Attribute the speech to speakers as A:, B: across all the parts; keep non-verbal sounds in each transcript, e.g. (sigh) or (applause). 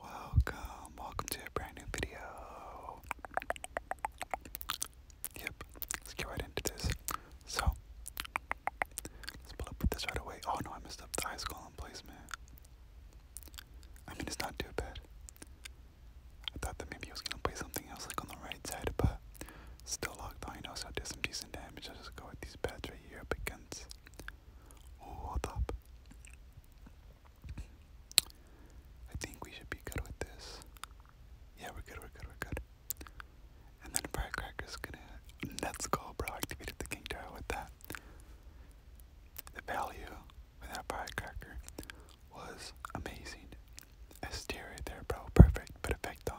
A: Welcome, welcome to a brand new video. Yep, let's get right into this. So, let's pull up with this right away. Oh no, I messed up the ice column placement. I mean, it's not too bad. I thought that maybe I was gonna play something else like on the right side, but still locked on, you know, so I did some decent damage. I'll just go with these pads right here up against. Oh, hold up. I think we should be good with this. Yeah, we're good, we're good, we're good. And then Firecracker's gonna. Let's go, bro. Activated the King Tower with that. The value with that Firecracker was amazing. A steer right there, bro. Perfect. Perfecto.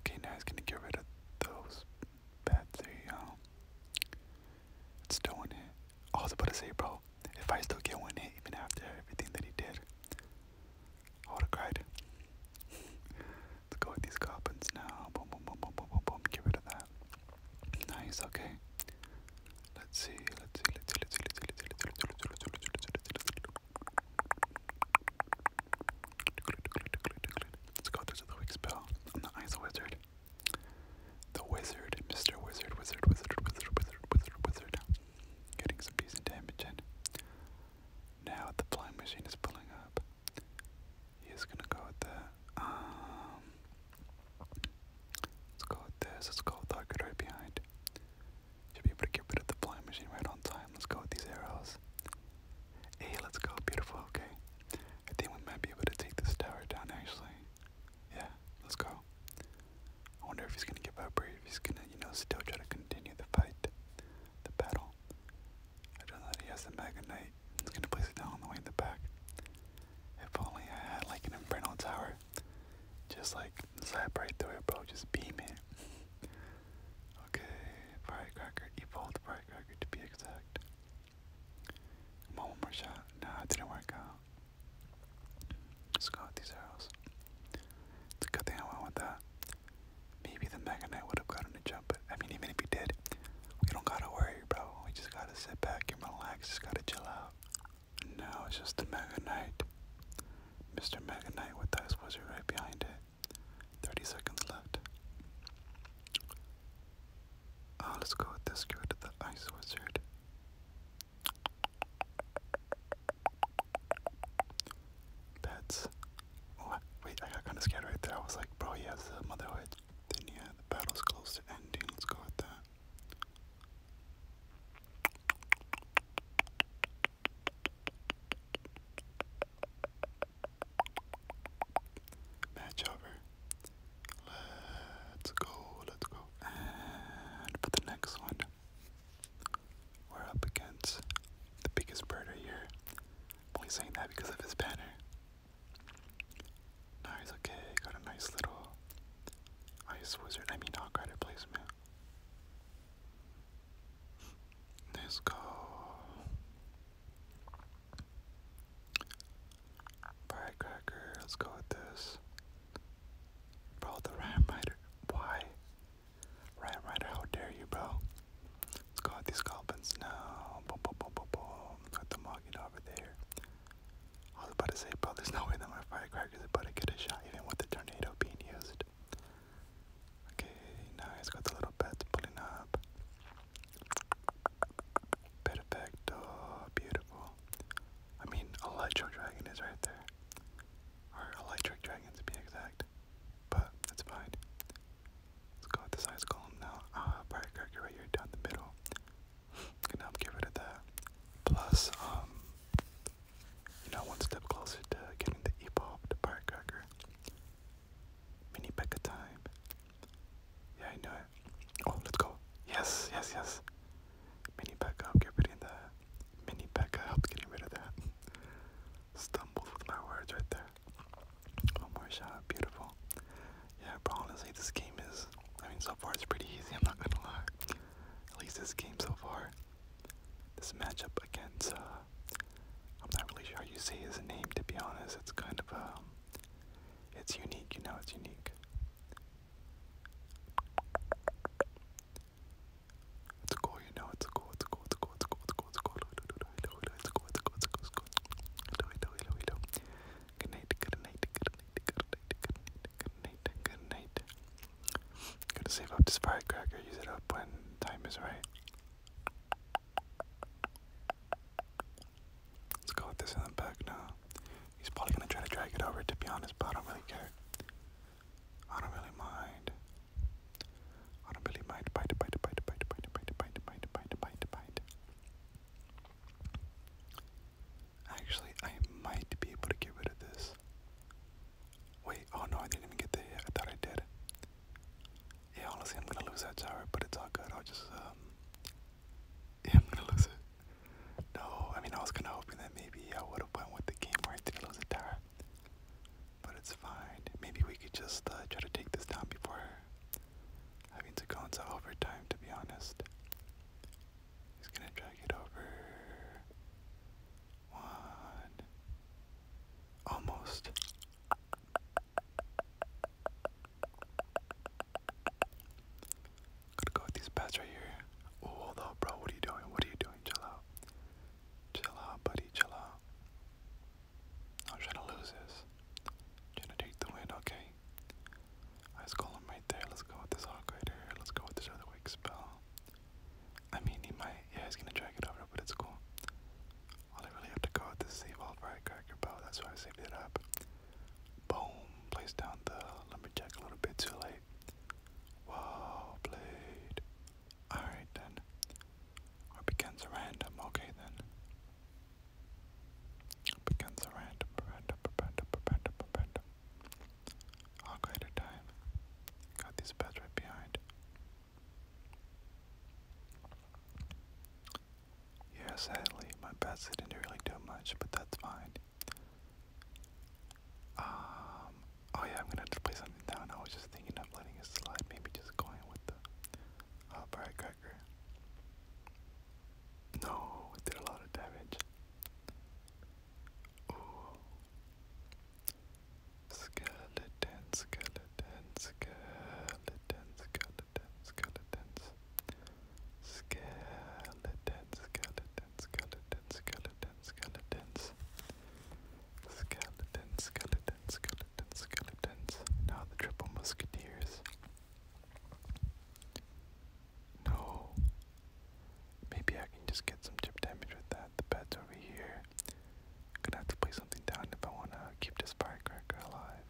A: Okay, now he's gonna get rid of those bad three. It's doing it. hit. All the but to say, bro, if I still get one hit even after everything that he did, I would have Let's go with these goblins now. Boom, boom, boom, boom, boom, boom, boom. Get rid of that. Nice, okay. Let's see, let's see, let's see, let's see, let's see, let's see, let's see, let's see, let's see, let's see. Let's go, this is the weak spell. I'm the Ice Wizard. The Wizard, Mr. Wizard, Wizard, Wizard, Wizard, Wizard, Wizard, Wizard. Getting some decent damage in. Now the flying machine is pulling up. He's gonna go with the um Let's go with this, let's go with the good right behind. Should be able to get rid of the flying machine right on time. Let's go with these arrows. Hey, let's go. Beautiful, okay. I think we might be able to take this tower down actually. Yeah, let's go. I wonder if he's gonna give up or if he's gonna, you know, still try to continue the fight, the battle. I don't know if he has the Mega Knight. He's gonna place it down on the way in the back. If only I had like an Infernal Tower. Just like zap right through it, bro. Just beam it. (laughs) okay, Firecracker, evolved Firecracker to be exact. Come on, one more shot. Nah, it didn't work out. Let's go with these arrows. It's a good thing I went with that. Maybe the Mega Knight would have gotten a jump, but I mean, even if he did, we don't gotta worry, bro. We just gotta sit back and relax. Just gotta chill out. Now it's just the Mega Knight. Mr. Mega Knight with the Ice Wizard right behind it. 30 seconds left. Uh, let's go with this, go the Ice Wizard. Pets. wait, I got kind of scared right there. I was like, bro, he has the motherhood. Then yeah, the battle's close to ending. Let's go with that. Match over. Let's go, let's go. And for the next one, we're up against the biggest bird right here. only saying that because of his banner. Nice, okay, got a nice little ice wizard, I mean, hawk rider placement. Let's go. Firecracker, let's go with this. Bro, the Rhyme Rider. Why? Rhyme Rider, how dare you, bro? Let's go with these goblins now. Boom, boom, boom, boom, boom. Got the Moggy over there. I was about to say, bro, there's no way that my Firecracker's about to get a shot, even with the tornado being used. Okay, now he's got the little bats pulling up. Perfecto, beautiful. I mean, Electro Dragon is right there. Or Electric Dragon to be exact. But that's fine. Let's go with the size column now. Ah, right here down the middle. (laughs) Gonna help get rid of that. Plus, um, you know, one step closer to getting the evolved Bright Mini Becca time. Yeah, I know it. Oh, let's go. Yes, yes, yes. Mini Becca help get rid of that. Mini Becca helped getting rid of that. Stumbled with my words right there. One more shot. Beautiful. Yeah, but honestly, this game is. I mean, so far it's pretty easy, I'm not gonna lie. At least this game so far. This matchup against uh, I'm not really sure how you say his name to be honest. It's kind of a. Um, it's unique, you know, it's unique. It's cool, you know, it's cool, it's cool, it's cool, it's cool, it's cool, it's cool, it's cool, it's cool, it's cool, it's cool, it's cool, it's cool, it's cool, Good night, good night, good night, good night, good night, good night, good night. Gotta save up this firecracker, use it up when time is right. Let's go with this in the back now. He's probably gonna try to drag it over, to be honest, but I don't really care. I don't really mind. I don't really mind. Bite, bite, bite, bite, bite, bite, bite, bite, bite, bite, bite, bite. Actually, I might be able to get rid of this. Wait, oh no, I didn't even get the hit. I thought I did. Yeah, honestly, I'm gonna lose that tower, but it's all good. I'll just, um, (laughs) yeah, I'm gonna lose it. No, I mean, I was kind of hoping that maybe I would have went with the game where I didn't lose a tower, but it's fine. Maybe we could just uh, try to take this down before having to go into overtime. To be honest, he's gonna drag it over. One, almost. Gotta go with these pets right here. Oh, hold up, bro. What are you doing? What are you doing? Chill out. Chill out, buddy. Chill out. I'm trying to lose this. I'm trying to take the win, okay? I just call him right there. Let's go with this hawk right here. Let's go with this other wig spell. I mean, he might. Yeah, he's gonna drag it over, but it's cool. All I really have to go with is save all firecracker bow. That's why I saved it up. Boom. Place down the lumberjack a little bit too late. Wow, blade. Alright then. Or begins a random. Okay then. Begins a random, random, random, random, random. All greater time. Got these beds right behind. Yeah, sadly, my bets didn't really do much, but that's fine. Um, oh yeah, I'm gonna play something down. I was just thinking of letting it slide, maybe just going with the bright uh, cracker. No, it did a lot of damage. Skeleton, skeleton, skeleton, skeleton, skeletons. Skeleton, skeleton, skeleton, skeleton, skeletons. Skeleton, skeleton, skeleton, skeletons. Now the triple musketeers. No. Maybe I can just get some chip damage with that. The bat's over here. Gonna have to play something down if I wanna keep this firecracker alive.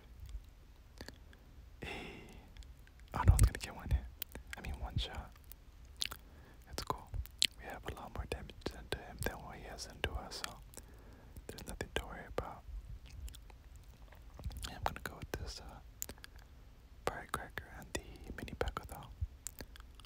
A: Hey, I gonna get one hit. I mean one shot. It's cool. We have a lot more damage done to him than what he has done to us, so there's nothing to worry about. I'm gonna go with this uh, firecracker and the mini pack though.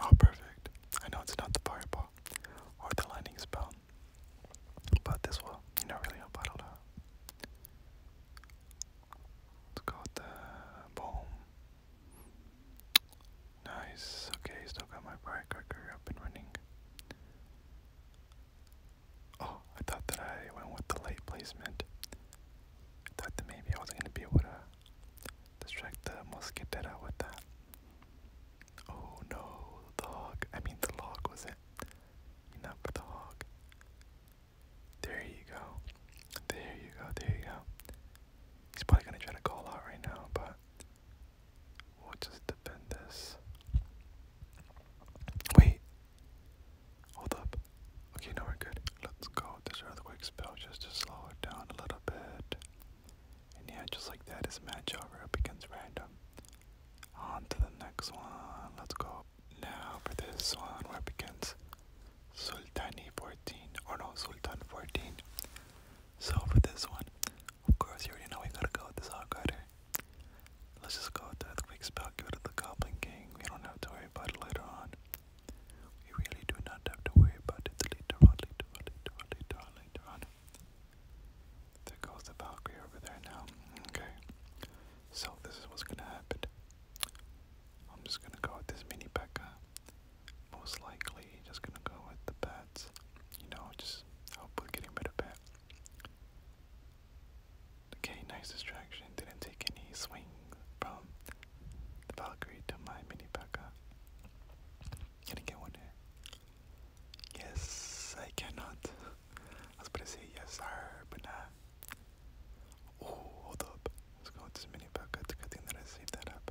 A: Oh, perfect. I know it's not the fireball or the lightning spell, but this will, you know, really help out a lot. Let's the boom. Nice. Okay, still got my firecracker up and running. Oh, I thought that I went with the light placement. thought that maybe I was gonna be able to distract the mosquitera with that. Oh no, the hog. I mean the log was it? Enough for the hog. There you go. There you go. There you go. He's probably gonna try to call out right now, but We'll just defend this. Wait. Hold up. Okay, now we're good. Let's go this earthquake spell just to slow it down a little bit. And yeah, just like that, it's match over against random. On to the next one. Let's go. Now for this one, we're up against Sultani 14. Or no, Sultan 14. So for this one, of course, you know we gotta go with this Hawk Let's just go with the Earthquake spell, to the Goblin King. We don't have to worry about it later on. We really do not have to worry about it later on, later on, later on, later on. There goes the Valkyrie over there now. Okay. So this is what's gonna happen. I'm just gonna go with this mini Becca most likely just gonna go with the bats. You know, just hopefully with getting rid of bat. Okay, nice distraction. Didn't take any swing from the Valkyrie to my mini P.A.K.K.A. Gonna get one here? Yes, I cannot. I was about to say yes, sir, but nah. Oh, hold up. Let's go with this mini P.A.K.K.A. good thing that I saved that up.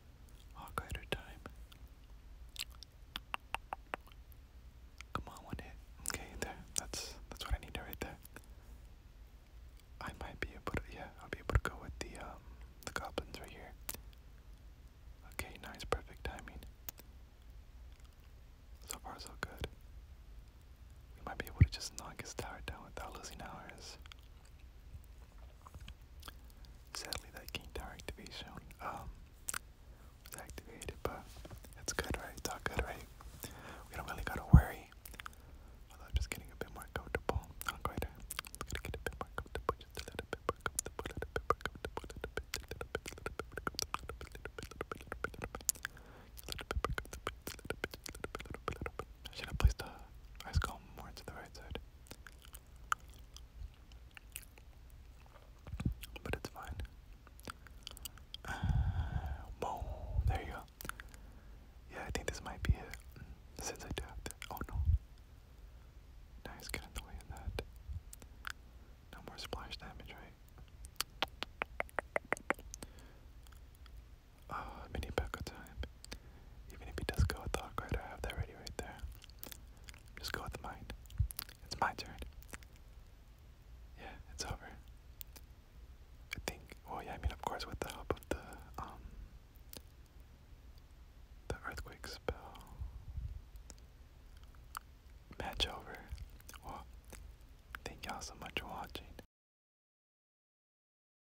A: Hawkrider time. Come on, one hit. Okay, there. That's that's what I need right there. I might be able to yeah, I'll be able to go with the um the goblins right here. Okay, nice, perfect timing. So far so good. We might be able to just knock his tower down without losing ours. Sadly, that King Tower activation um, was activated, but it's good, right? It's good, right? We don't really gotta worry. Although I'm just getting a bit more comfortable. I'm going to, get a bit more comfortable, just a little bit more comfortable, a little bit more comfortable, a little bit, a little a little bit, a little a little bit, a little I should have placed the ice column more to the right side. But it's fine. (sighs) whoa, there you go. Yeah, I think this might be it. Since I do have Oh no. Nice, get in the way of that. No more splash damage, right? uh, mini Pekka time. Even if he does go with Dark Rider, I have that ready right there. Just go with mine. It's my turn. Yeah, it's over. I think. Well, yeah, I mean, of course, with the help of the um, the earthquake spell, match over. Well, thank y'all so much for watching.